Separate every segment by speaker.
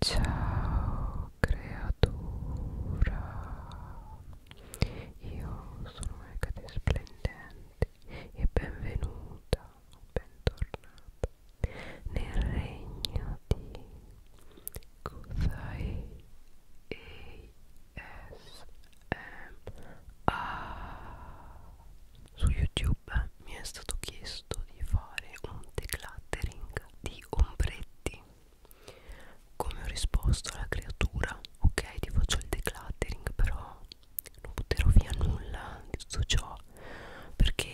Speaker 1: Ciao creatura, io sono Ecate Splendente e benvenuta, bentornata nel regno di Kuzai ASMR. Su YouTube mi è stato chiesto di fare un decluttering di di ombretti come ho risposto alla creatura ok ti faccio il decluttering però non butterò via nulla di tutto ciò perché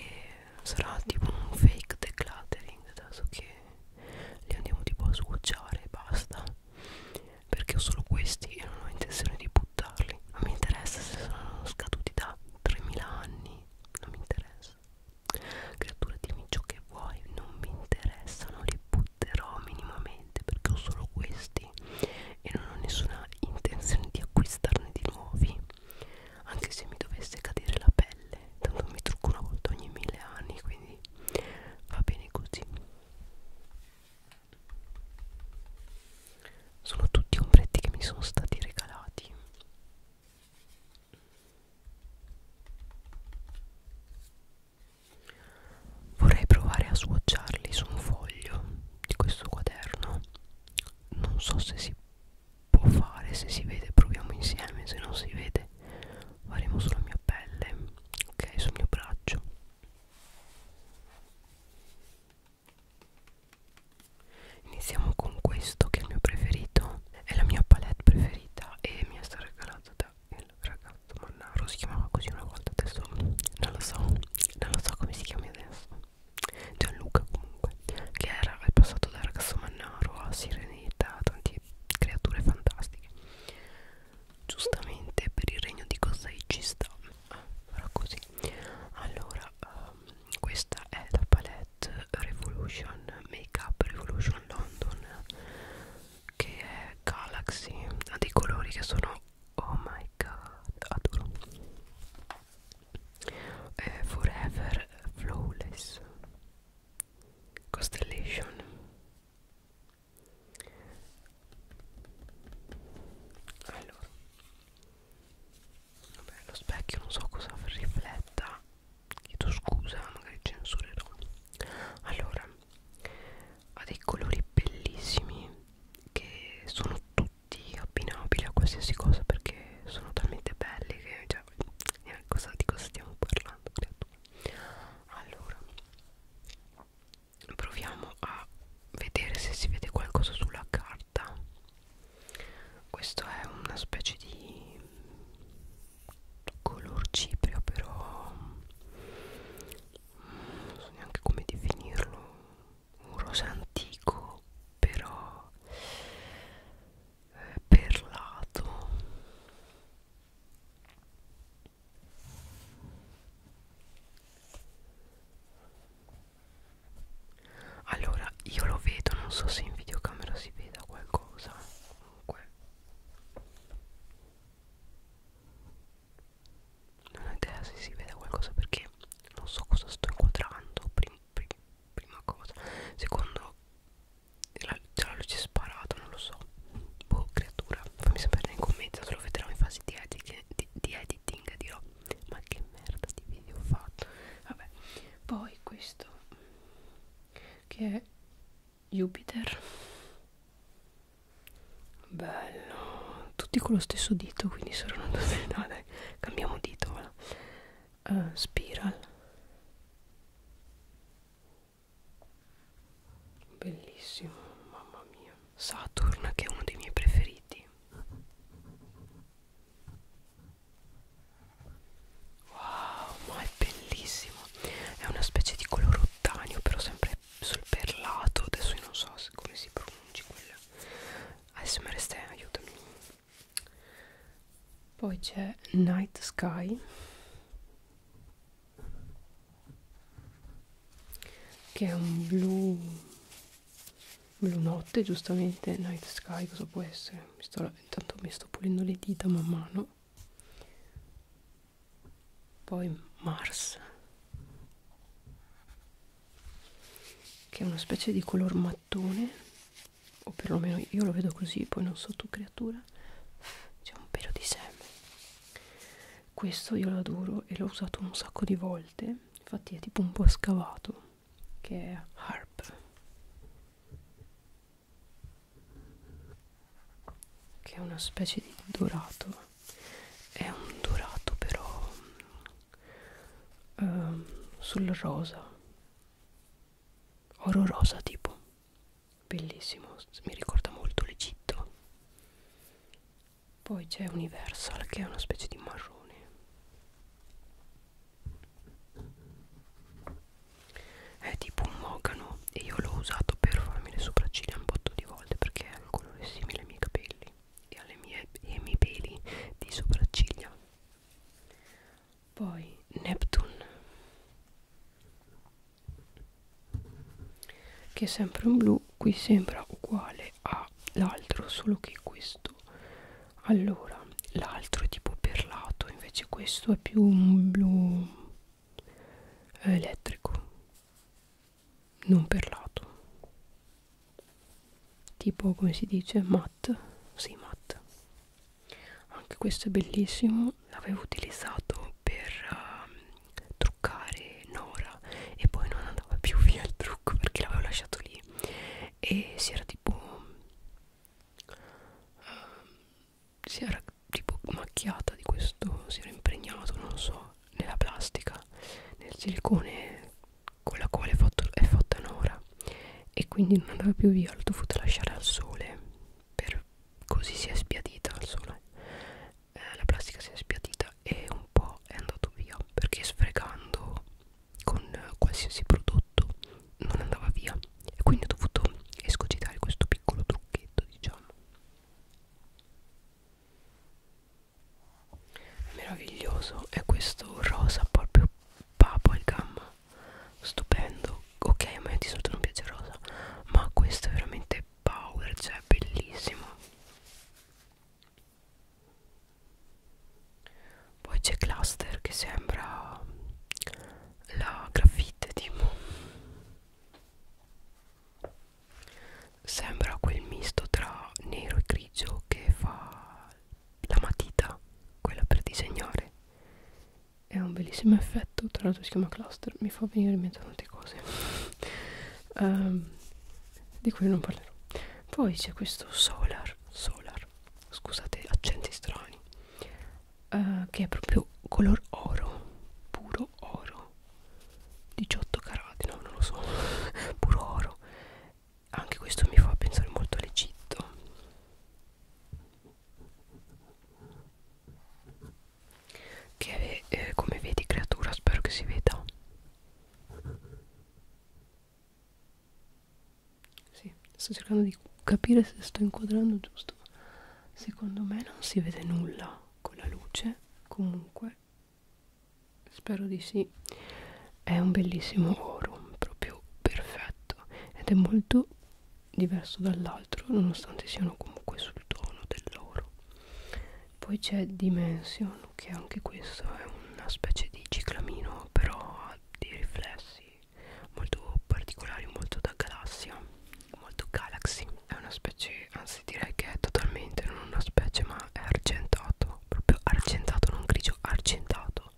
Speaker 1: sarà tipo un fake decluttering adesso che li andiamo tipo a sguacciare e basta perché ho solo questi e non ho intenzione di buttarli non mi interessa se sono scaduti da 3000 anni non mi interessa Zeus Creatura dimmi ciò che vuoi Non mi interessano Li butterò minimamente Perché ho solo questi E non ho nessuna intenzione di acquistarne di nuovi Anche se mi dovesse cadere la pelle Tanto mi trucco una volta ogni mille anni Quindi va bene così sono tutti ombretti che mi sono stati regalati Vorrei provare a swatcharli su un foglio di questo quaderno. Non so se si può fare, se si vede proviamo insieme, se non si vede faremo sulla mia pelle, ok, sul mio braccio. Iniziamo con questo che è il mio preferito È la mia palette preferita E mi è stata regalata da il ragazzo Mannaro Si chiamava così una volta Adesso non lo so Non lo so come si chiami adesso Gianluca comunque Che era, è passato da ragazzo Mannaro a Sirenita Tante creature fantastiche Giustamente per il regno di Kosei ci sta Ah, farà così Allora um, questa è la palette Revolution Makeup Revolution London che è Galaxy ha ah, dei colori che sono oh my god adoro è Forever Flawless Constellation allora Vabbè, lo specchio non so cosa rifletta. Chiedo scusa, magari censurerò. Allora, ha dei colori bellissimi che sono tutti abbinabili a qualsiasi cosa perché sono talmente belli che cioè, cosa, di cosa stiamo parlando? Allora, proviamo a vedere se si vede qualcosa sulla carta questo è una specie di color cipria però mm, non so neanche come definirlo un rosa antico però eh, perlato allora io lo vedo, non so se in videocamera si veda qualcosa. Comunque. Non ho idea se si veda qualcosa perché non so cosa sto inquadrando. Prim, prim, prima cosa. Secondo la, già la luce sparata, non lo so. Boh, creatura. Fammi sapere nei commenti, se lo vedrò in fase di, edit, di, di editing dirò. Ma che merda di video ho fatto. Vabbè, poi questo che è Jupiter bello tutti con lo stesso dito quindi saranno due no, dai cambiamo dito voilà. uh, spiral bellissimo mamma mia Saturn che è uno dei miei preferiti wow ma è bellissimo è una specie di color ottanio però sempre sul perlato adesso io non so come si pronunci quella ASMR Stan aiutami poi c'è Night Sky che è un blu blu notte giustamente Night Sky cosa può essere mi sto intanto mi sto pulendo le dita man mano poi Mars che è una specie di color mattone o perlomeno io lo vedo così poi non so tu creatura c'è un pelo di seme questo io lo adoro e l'ho usato un sacco di volte infatti è tipo un po' scavato che è Harp che è una specie di dorato è un dorato però um, sul rosa oro rosa tipo bellissimo mi ricorda molto l'Egitto poi c'è Universal che è una specie di marrone è tipo un mogano e io l'ho usato per farmi le sopracciglia un botto di volte perché ha un colore simile ai miei capelli e, alle mie, e ai miei peli di sopracciglia poi Neptune che è sempre un blu qui sembra uguale all'altro solo che questo lato allora l'altro è tipo perlato invece questo è più un blu eh, elettrico non perlato tipo come si dice matte sì matte anche questo è bellissimo l'avevo utilizzato per uh, truccare Nora e poi non andava più via il trucco perché l'avevo lasciato lì e si era tipo uh, si era tipo macchiata di questo, si era impregnato, non so, nella plastica, nel silicone con la quale è, fatto, è fatta Nora e quindi non andava più via, l'ho dovuta lasciare al sole, per, così si è spiadita al sole, eh, la plastica si è spiadita e un po' è andato via perché sfregando con qualsiasi prodotto non andava via e quindi ho dovuto escogitare questo piccolo trucchetto diciamo meraviglioso è questo rosa proprio bubblegum stupendo ok a me di solito non piace rosa ma questo è veramente power cioè bellissimo poi c'è cluster che sembra la graffite tipo sembra quel misto tra nero e grigio che fa la matita quella per disegnare è un bellissimo effetto tra l'altro si chiama cluster mi fa venire in mente tante cose um, di cui non parlerò poi c'è questo solar solar color scusate accenti strani uh, che è proprio color oro puro oro 18 carati no non lo so puro oro anche questo mi fa pensare molto all'Egitto che eh, come vedi creatura spero che si veda sì, sto cercando di capire se sto inquadrando giusto. Secondo me non si vede nulla con la luce, comunque spero di sì. È un bellissimo oro, proprio perfetto ed è molto diverso dall'altro, nonostante siano comunque sul tono dell'oro. Poi c'è Dimension, che anche questo è una specie di ciclamino, però ha dei riflessi molto particolari, molto da galassia, molto galaxy. È una specie, anzi direi che è totalmente non una specie, ma è argentato, proprio argentato, non grigio, argentato.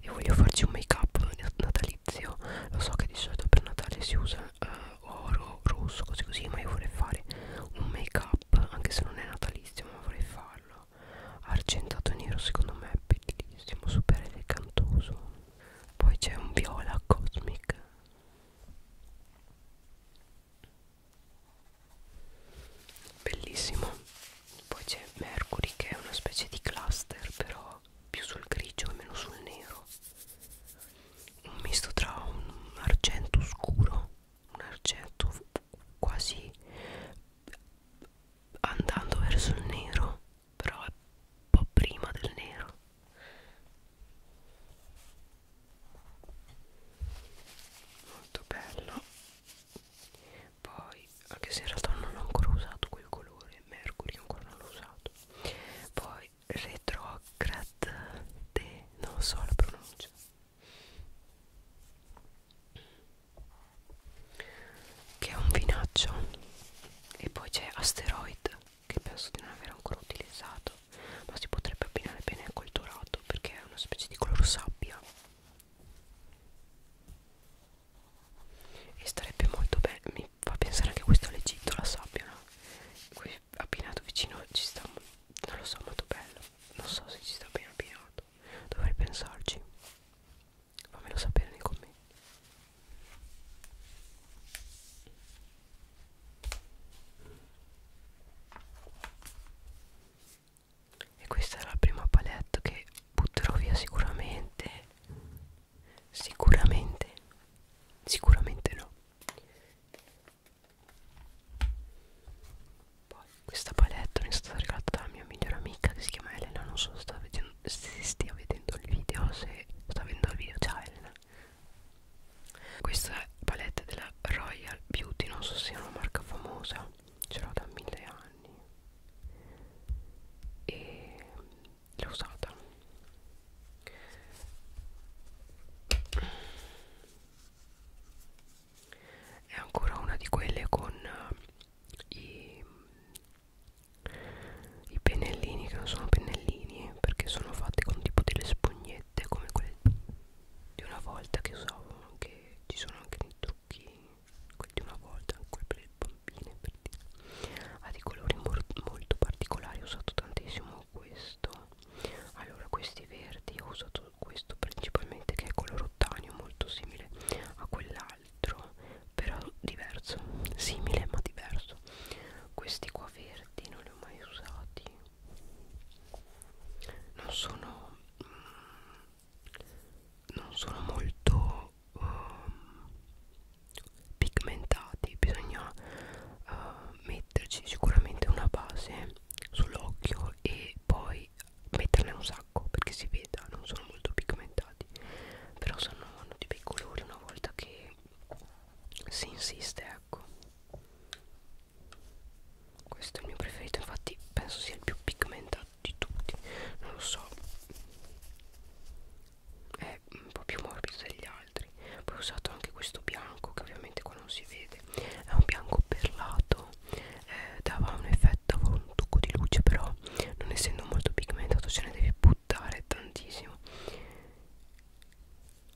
Speaker 1: E voglio farci un make up natalizio. Lo so che di solito per Natale si usa uh, oro, rosso, così così, ma io vorrei fare un make up, anche se non è natalizio, ma vorrei farlo argentato nero secondo me è bellissimo super elegantoso poi c'è un viola cosmic bellissimo poi c'è mercury che è una specie di cluster però più sul grigio e meno sul nero un misto tra un argento scuro un argento quasi andando verso il nero però è un po' prima del nero molto bello poi anche se in realtà non ho ancora usato quel colore mercury ancora non l'ho usato poi retrograde non so la pronuncia che è un vinaccio e poi c'è Asteroid che penso di non aver ancora utilizzato ma si potrebbe abbinare bene col dorato perché è una specie di color sabbia e starebbe molto bene mi fa pensare anche questo all'Egitto la sabbia no? abbinato vicino ci sta non lo so molto bello non so se ci sta bene abbinato dovrei pensarci fammelo sapere nei commenti e questa è la prima palette che butterò via sicuramente sicuramente sicuramente no poi questa palette mi è stata regalata dalla mia migliore amica che si chiama Elena non so se sta vedendo se stia vedendo il video se sta vedendo il video ciao Elena questa è palette della Royal Beauty non so se è una marca famosa ce l'ho da mille anni e l'ho usata è ancora una di quelle con eh, i i pennellini che non sono pennellini perché sono fatti con tipo delle spugnette come quelle di una volta che usavo anche ci sono anche dei trucchi quelli di una volta anche quelli per le bambine per dire. ha dei colori molto particolari ho usato tantissimo questo allora questi verdi ho usato questo principalmente che è color ottanio molto simile a quell'altro altro però diverso simile ma diverso questi qua verdi non li ho mai usati non sono mm, non sono molto um, pigmentati bisogna uh, metterci sicuramente una base sull'occhio e poi metterne un sacco perché si veda non sono molto pigmentati però sono hanno dei bei colori una volta che si insiste ecco questo è il mio preferito infatti penso sia il più pigmentato di tutti non lo so è un po' più morbido degli altri poi ho usato anche questo bianco che ovviamente qua non si vede è un bianco perlato eh, dava un effetto aveva un tocco di luce però non essendo molto pigmentato ce ne devi buttare tantissimo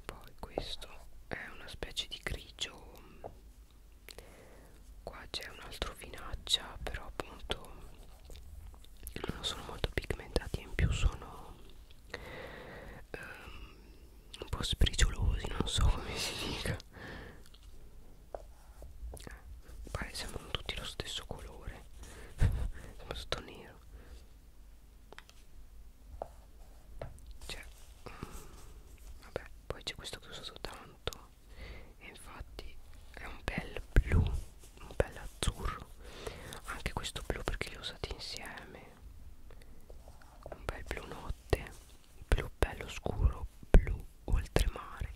Speaker 1: poi questo è una specie di grigio qua c'è un altro finaccia però appunto non sono molto pigmentati in più sono um, un po' spriciolosi non so come si dica pare sembrano tutti lo stesso colore sembra tutto nero cioè mm, vabbè poi c'è questo che ho usato tanto e infatti è un bel blu un bel azzurro anche questo blu perché li ho usati insieme un bel blu notte blu bello scuro blu oltremare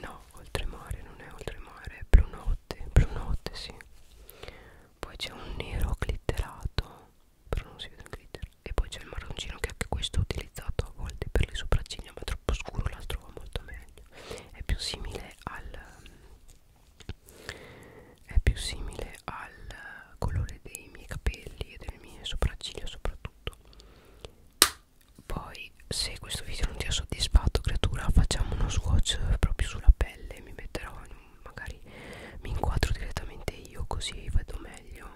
Speaker 1: No, oltremare, non è oltremare, brunotte, brunotte sì. Poi c'è un nero glitterato, però non si vede il glitter. E poi c'è il marroncino che anche questo ho utilizzato a volte per le sopracciglia, ma troppo scuro l'altro va molto meglio. È più simile al è più simile al colore dei miei capelli e delle mie sopracciglia soprattutto poi se questo video non ti ha soddisfatto creatura facciamo uno swatch proprio sulla pelle Mi metterò, magari mi inquadro direttamente io così vedo meglio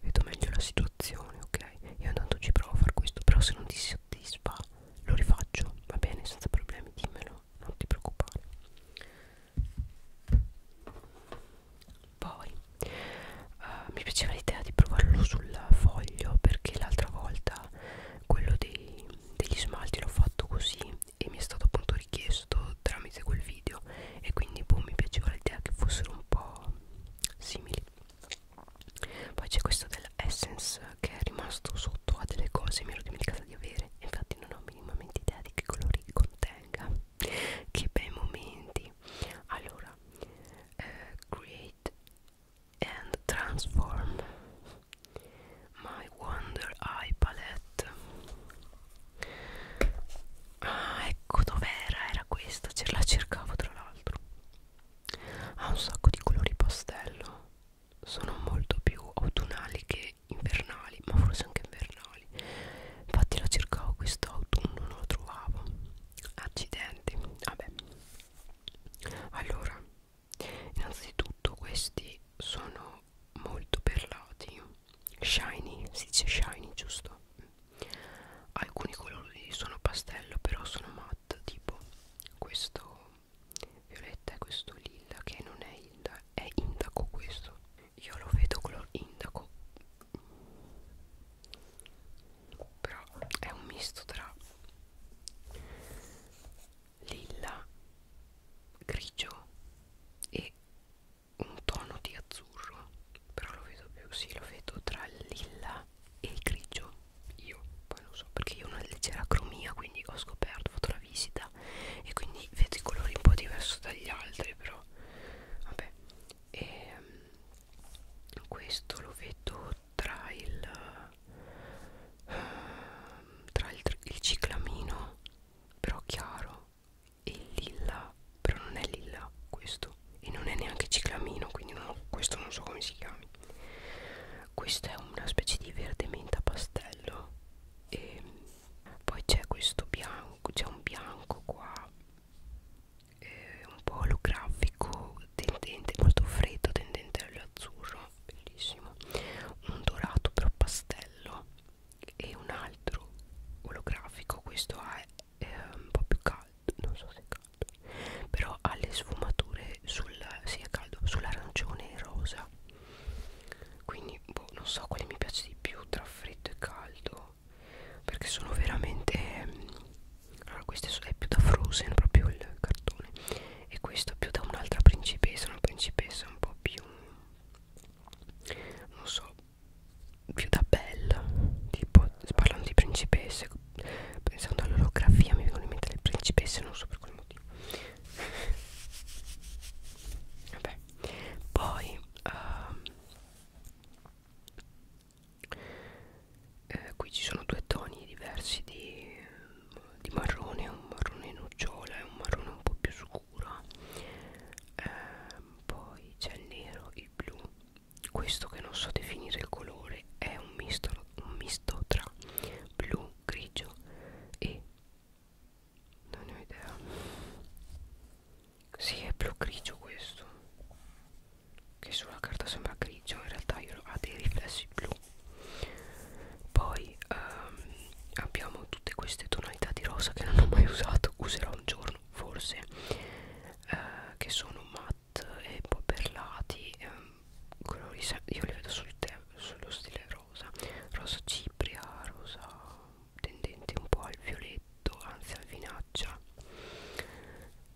Speaker 1: Vedo meglio la situazione ok Io intanto ci provo a fare questo però se non ti soddisfa lo rifaccio va bene senza problemi dimmelo non ti preoccupare poi uh, mi piaceva l'idea di provarlo sul foglio perché l'altra volta quello dei, degli smalti l'ho fatto così e mi è stato appunto richiesto tramite quel video e quindi boh, mi piaceva l'idea che fossero un po' simili poi c'è questo dell'essence che è rimasto sotto a delle cose mi ero dimenticata di avere infatti non ho minimamente idea di che colori contenga che bei momenti allora eh, create and transform my Wonder Eye palette. Ah, ecco dov'era, era questa, ce la cercavo tra l'altro. Ha un sacco di colori pastello, sono molto più autunnali che invernali, ma forse anche invernali. Infatti la cercavo quest'autunno, non la trovavo. Accidenti, vabbè allora innanzitutto questi sono molto perlati shiny si dice shiny giusto alcuni colori sono pastello però sono matte tipo questo violetta e questo lilla che non è lilla è indaco questo io lo vedo color indaco però è un misto tra lilla grigio e un tono di azzurro però lo vedo più sì lo vedo tra il lilla e il grigio io poi lo so perché io ho una leggera cromia quindi ho scoperto ho fatto la visita e quindi vedo i colori un po' diversi dagli altri però vabbè e ehm, questo lo vedo tra il ehm, tra il, il ciclamino però chiaro e il lilla però non è lilla questo e non è neanche ciclamino quindi non ho, questo non so come si chiami questo è una specie di verde menta pastello e poi c'è questo bianco c'è un bianco qua eh, un po' olografico tendente molto freddo tendente all'azzurro bellissimo un dorato però pastello e un altro olografico questo è eh, un po' più caldo non so se è caldo però ha le sfumature sul sì, è caldo sull'arancione e rosa quindi boh, non so quale mi piace di più tra freddo e caldo perché sono veramente mm, allora questo è più da Frozen proprio il cartone e questo più da un'altra principessa una principessa un po' più non so più da bella tipo parlando di principesse pensando all'olografia mi vengono in mente le principesse non so per quale motivo vabbè poi uh, eh, qui ci sono due toni diversi di, di marrone un marrone nocciola e un marrone un po' più scuro eh, poi c'è il nero il blu questo che non so definire il colore è un misto, un misto tra blu grigio e non ne ho idea si sì, è blu grigio questo che sulla carta sembra grigio in realtà ha dei riflessi blu poi ehm, abbiamo tutte queste tonalità di rosa che non ho mai usato userò un giorno forse eh, che sono matte e un po' perlati ehm, colori io li vedo sul sullo stile rosa rosa cipria rosa tendente un po' al violetto anzi al vinaggio pioggia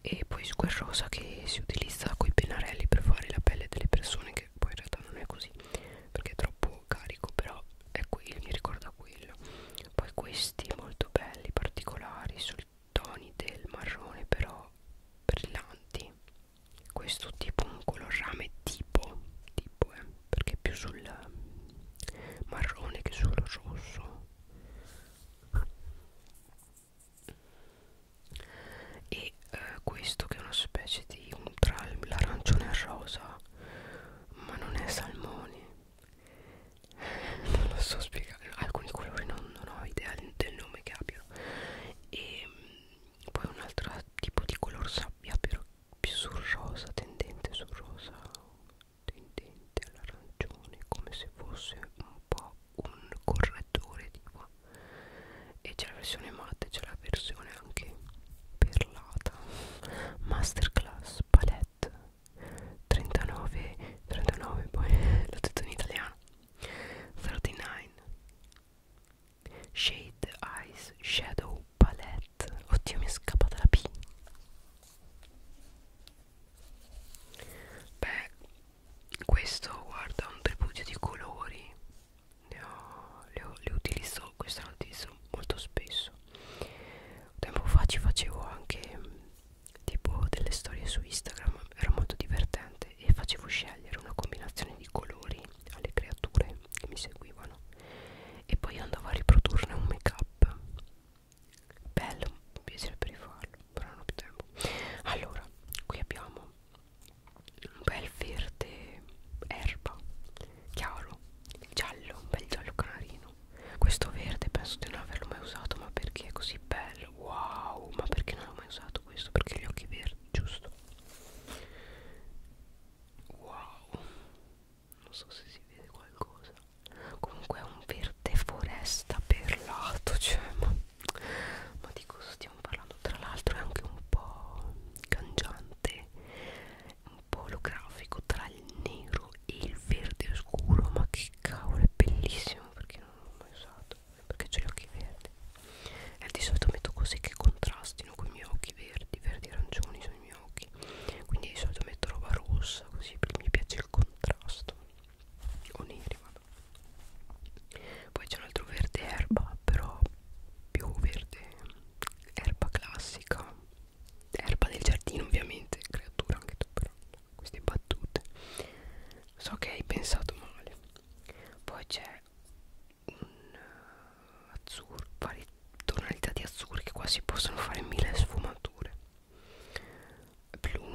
Speaker 1: e poi square rosa che si utilizza con i pennarelli per fare la pelle delle persone che poi in realtà non è così perché è troppo carico però è quello mi ricorda quello poi questi molto belli particolari sui toni del marrone però brillanti questo tipo un colorame tipo tipo eh, perché è più sul marrone che sul rosso e eh, questo che è una specie di un tra l'arancione e il rosa ma non è salmone non lo so spiegare alcuni colori non, non ho idea del nome che abbiano e mm, poi un altro tipo di color sabbia però più sul rosa tendente sul rosa tendente all'arancione come se fosse un po' un correttore tipo e c'è la versione matte c'è la versione anche perlata masterclass palette 39 39 poi l'ho detto in italiano 39 shade eyes shadow palette oddio mi è scappata la p beh questo guarda un tripudio di colori le, ho, le, ho, le utilizzo questa la utilizzo molto spesso tempo fa ci facevo anche tipo delle storie su Instagram era molto divertente e facevo scegliere una combinazione di colori alle creature che mi seguivano e poi andavo a riprodurne un make up bello mi piacerebbe rifarlo però non ho più tempo allora qui abbiamo un bel verde erba chiaro giallo un bel giallo canarino questo verde penso di non averlo mai usato ma perché è così bello wow ma perché non l'ho mai usato questo perché gli occhi verdi giusto wow non so se si vede qualcosa comunque è un verde foresta perlato cioè ma, ma di cosa stiamo parlando tra l'altro è anche un po' cangiante un po' olografico tra il nero e il verde scuro ma che cavolo è bellissimo perché non l'ho mai usato perché ho gli occhi verdi e di solito metto cose che contrastino con i miei occhi verdi verdi arancioni sono i miei occhi quindi di solito metto roba rossa così mi piace il contrasto o neri vabbè. poi c'è un altro verde erba però più verde erba classica erba del giardino ovviamente creatura anche tu però queste battute so che hai pensato male poi c'è un eh, azzurro vari tonalità di azzurro che qua si possono fare mille sfumature blu,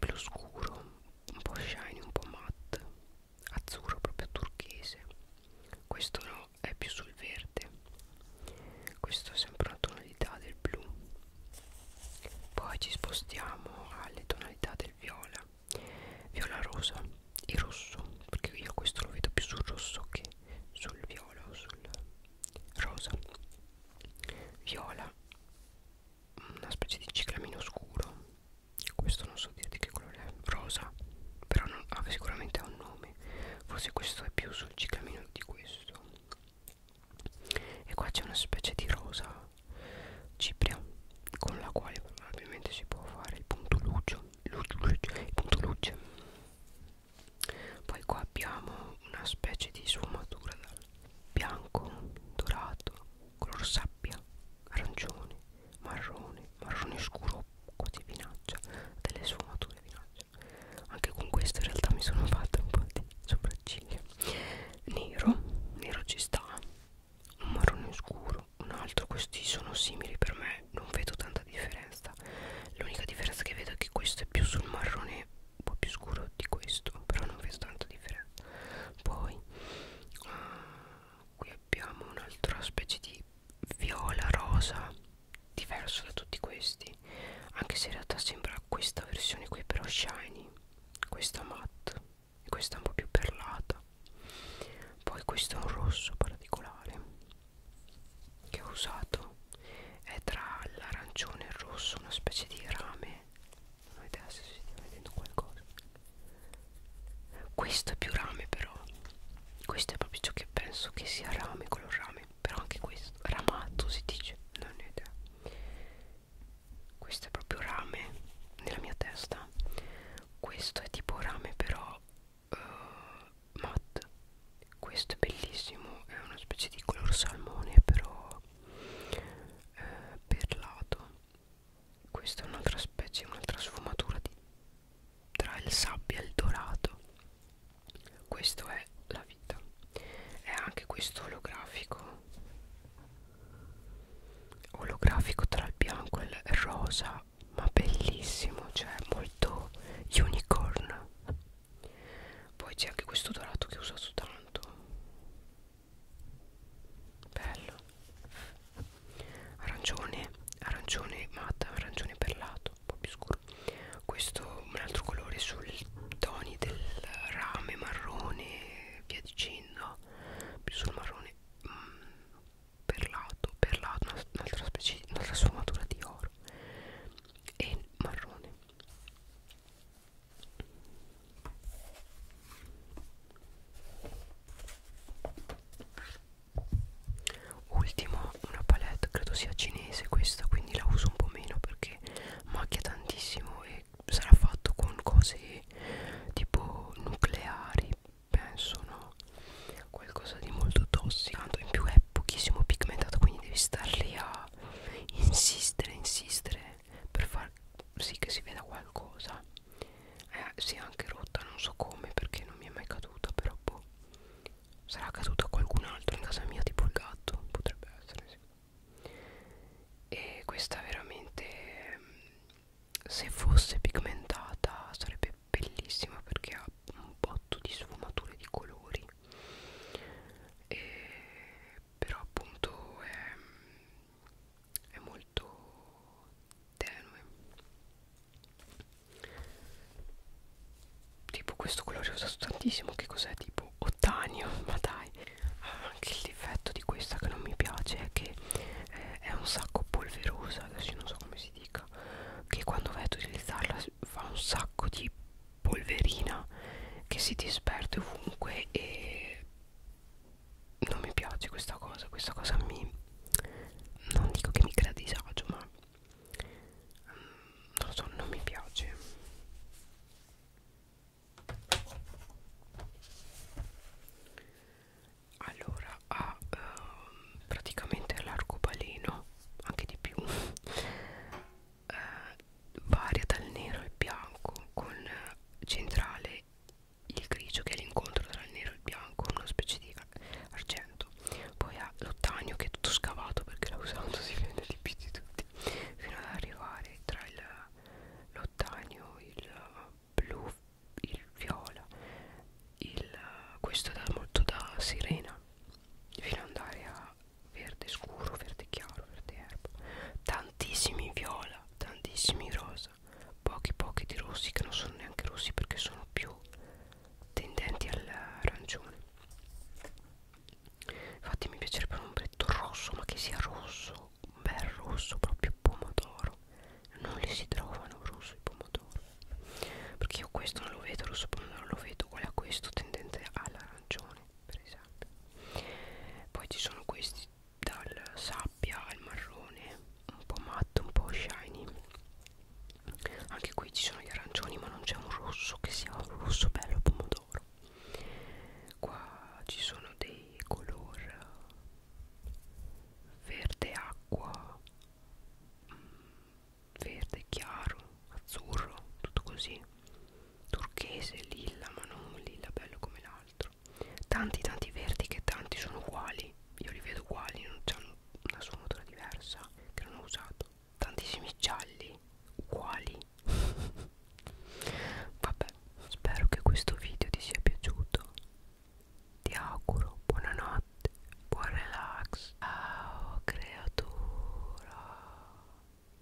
Speaker 1: blu scuro, un po' shiny, un po' matte, azzurro proprio turchese. Questo no, è più sul verde. Questo è sempre una tonalità del blu. Poi ci spostiamo alle tonalità del viola, viola rosa e rosso, perché io questo lo vedo più sul rosso che sul viola o sul rosa. Viola una specie di ciclamino scuro questo non so dire di che colore è rosa però non, ah, sicuramente ha un nome forse questo è più sul ciclamino di questo e qua c'è una specie di rosa cipria con la quale probabilmente si può fare il punto luce il punto luce poi qua abbiamo una specie di sfumatura dal bianco, dorato, color sabbia, arancione, marrone, marrone scuro, quasi vinaccia, delle sfumature vinaccia. Anche con questo in realtà mi sono fatta un po' di sopracciglia. Nero, nero ci sta, un marrone scuro, un altro, questi sono simili per me, non vedo tanta differenza. L'unica differenza che vedo è che questo è più sul marrone un po' più scuro di questo però non vedo tanta differenza poi uh, qui abbiamo un'altra specie di viola rosa diverso da tutti questi anche se in realtà sembra questa versione qui però shiny questa matte e questa un po' più perlata poi questo è un rosso particolare che ho usato è tra l'arancione e il rosso una specie di rame non avete la se stiamo vedendo qualcosa questo è più rame però questo è proprio ciò che penso che sia rame color rame però anche questo ramato si dice non ne ho idea questo è proprio rame nella mia testa questo è tipo rame però uh, matte questo è bellissimo è una specie di color salmone però eh, perlato questa è un'altra specie un'altra sfumatura di, tra il sabbia e il dorato questo è la vita è anche questo olografico olografico tra il bianco e il rosa ma bellissimo cioè molto unicorn poi c'è anche questo dorato che ho usato tanto bello arancione arancione matta arancione perlato un po' più scuro questo un altro colore sui toni del rame marrone via dicendo più sul marrone mm, perlato perlato un'altra specie un'altra sfumatura di oro e marrone Ultimo una palette credo sia cinese questa quindi la uso un po' meno perché macchia tantissimo e sarà fatto con cose tipo nucleari penso no qualcosa di molto tossico tanto in più è pochissimo pigmentato quindi devi star lì a insistere insistere per far sì che si veda qualcosa eh, si è anche rotta non so come perché non mi è mai caduta però boh sarà caduta a qualcun altro in casa mia tipo il gatto potrebbe essere sì e questa veramente se fosse pigmentata sarebbe bellissima perché ha un botto di sfumature di colori e però appunto è, è molto tenue tipo questo colore ho usato tantissimo che cos'è tipo ottanio ma dai anche il difetto di questa che non mi piace è che eh, è un sacco polverosa adesso non so come si dica che quando vai ad utilizzarla fa un sacco di polverina che si disperde ovunque e non mi piace questa cosa questa cosa mi non dico che mi crea disagio ma mm, non lo so non mi piace allora ha ah, ehm, praticamente l'arcobaleno anche di più eh, varia dal nero al bianco con eh, centrale il grigio che è l'incontro tra il nero e il bianco una specie di argento poi ha l'ottanio che è tutto scavato perché l'ha usato si vede di più di tutti fino ad arrivare tra l'ottanio il, il blu il viola il, questo dà molto da sirena fino ad andare a verde scuro, verde chiaro, verde erba, tantissimi viola, tantissimi rosa, pochi pochi di rossi che non sono neanche rossi perché sono più tendenti all'arancione. Infatti mi piacerebbe un ombretto rosso, ma che sia rosso, un bel rosso, proprio pomodoro. Non li si trovano rosso e pomodoro. Perché io questo non lo vedo, rosso pomodoro lo vedo uguale a questo tendente all'arancione per esempio poi ci sono questi dal sabbia al marrone un po' matto un po' shiny anche qui ci sono gli arancioni ma non c'è un rosso che sia un rosso bello pomodoro qua ci sono dei color verde acqua mm, verde chiaro azzurro tutto così turchese, lilla, ma non un lilla bello come l'altro. Tanti tanti verdi che tanti sono uguali, io li vedo uguali, non hanno una sfumatura diversa che non ho usato. Tantissimi gialli, uguali. Vabbè, spero che questo video ti sia piaciuto. Ti auguro buonanotte, buon relax. Ciao creatura.